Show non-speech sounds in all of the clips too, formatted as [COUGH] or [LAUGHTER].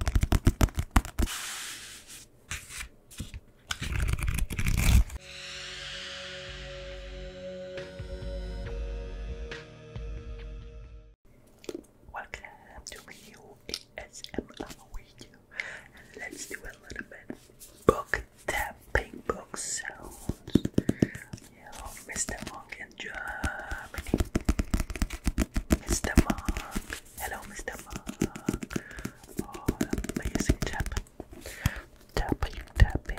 Welcome to a new video, let's do a little bit book tapping, book sounds. Yeah, Mr. Monk in Germany. Mr. Monk Hello, Mr. Monk. Oh, tapping, tapping, tapping.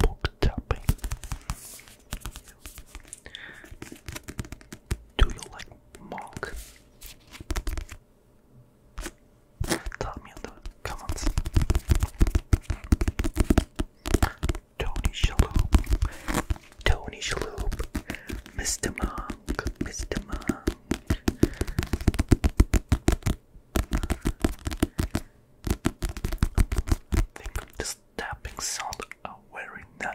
Book Do you like mock? Tell me in the comments. Tony Shalhoub, Tony Shalhoub, Mr. Monk, Mr. Monk. I think this tapping sound are very nice.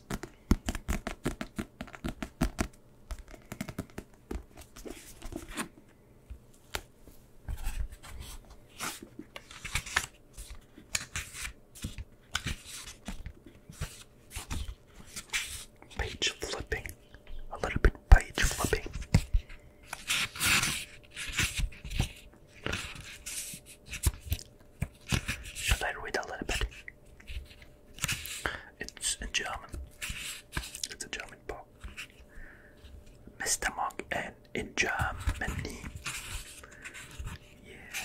Page flipping, a little bit page flipping. Should I read a little bit? It's in German. It's a German book. Mr. Monk and in Germany. Yeah.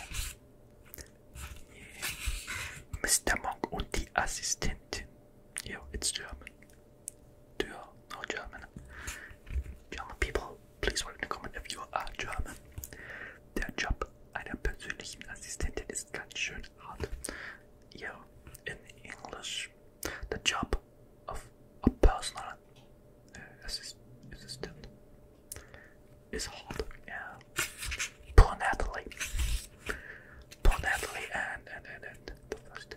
yeah. Mr. Monk and die Assistentin. Yeah, it's German. Do you know German? German people, please write in the comment if you are German. Their einer persönlichen Assistentin ist ganz schön hart. Yeah, in English, the job of a personal äh, assistant is hard. Yeah, brunately, brunately, and and and and the first.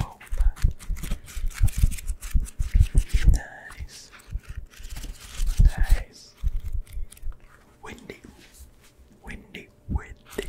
Opa. Nice. Nice. Windy. Windy. Windy.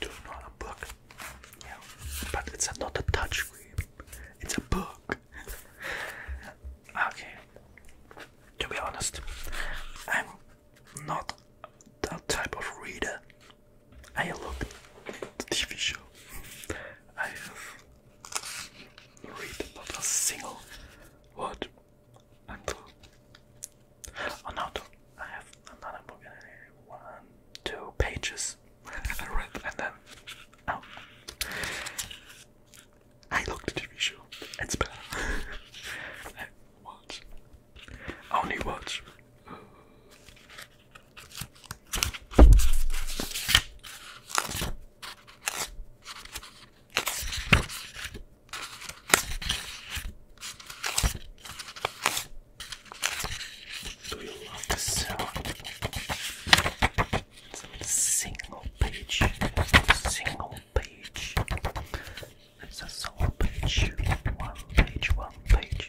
Do not a book. Yeah. But it's not a touch It's a book. okay. To be honest, I'm not that type of reader. I look at the TV show. I have read not a single word and oh, blue. I have another book One, two pages. [LAUGHS] I read and then Oh. I looked at the TV show. It's better. [LAUGHS] watch. Only watch. Do you love the sound? Single page, single page. It's a sole page, one page, one page.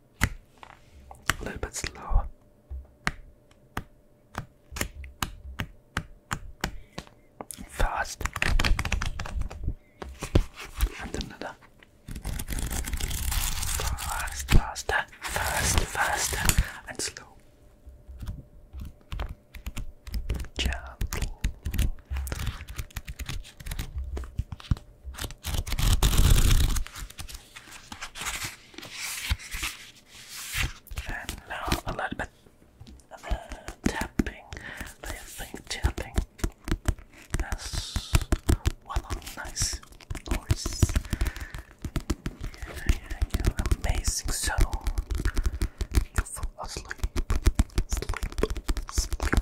a little bit slower. Fast and another fast, faster, fast, faster, and slow. Gentle, and now a little bit of uh, the tapping, laughing, tapping. That's what a nice voice. Yeah, yeah, you amazing, so you asleep, sleep, sleep, sleep.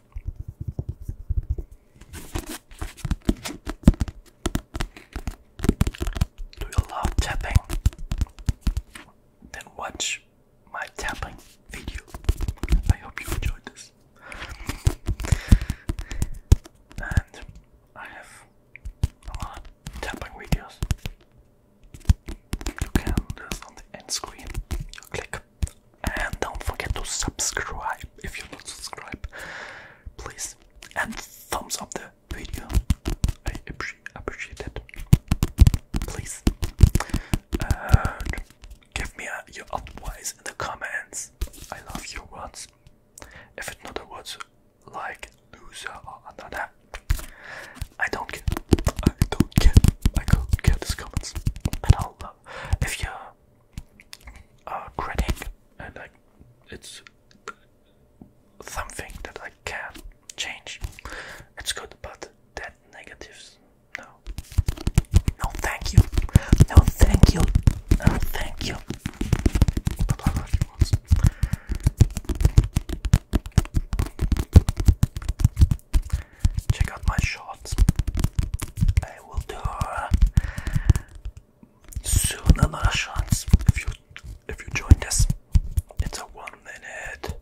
Do you love tapping? Then watch my tapping video. I hope you enjoyed this. And I have a lot tapping videos. You can do screen. You click and don't forget to subscribe if you're not subscribed, please, and thumbs up the video. I appreciate it. Please, uh, give me uh, your advice in the comments. I love your words. If it's not a word like loser or another, I don't care. I don't care. I don't care these comments. And I'll love uh, if you're a critic and like it's something that I can change. It's good, but that negatives. No. No, thank you. No, thank you. No, thank you check out my shorts. I will do uh, soon another shorts if you if you join this. It's a one minute,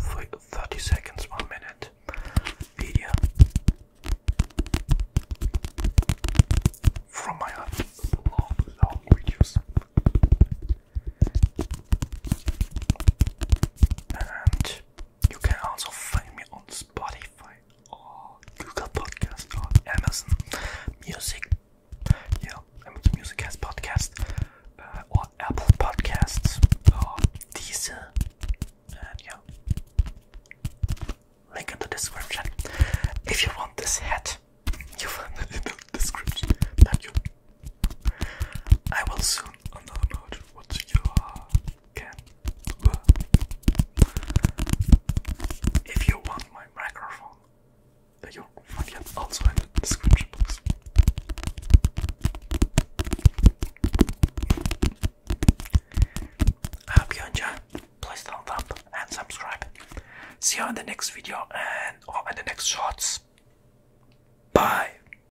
three, thirty seconds, one minute video from my Long, long videos. And you can also find me on Spotify or Google Podcast or Amazon Music. Yeah, Amazon Music has podcast uh, or Apple Podcasts or Deezer. And yeah, link in the description. If you want this hat, you find it in the description. Thank you. I will soon unload what you can If you want my microphone, you find it also in the description box. I hope you Please thumbs up and subscribe. See you in the next video and or in the next shorts. Bye.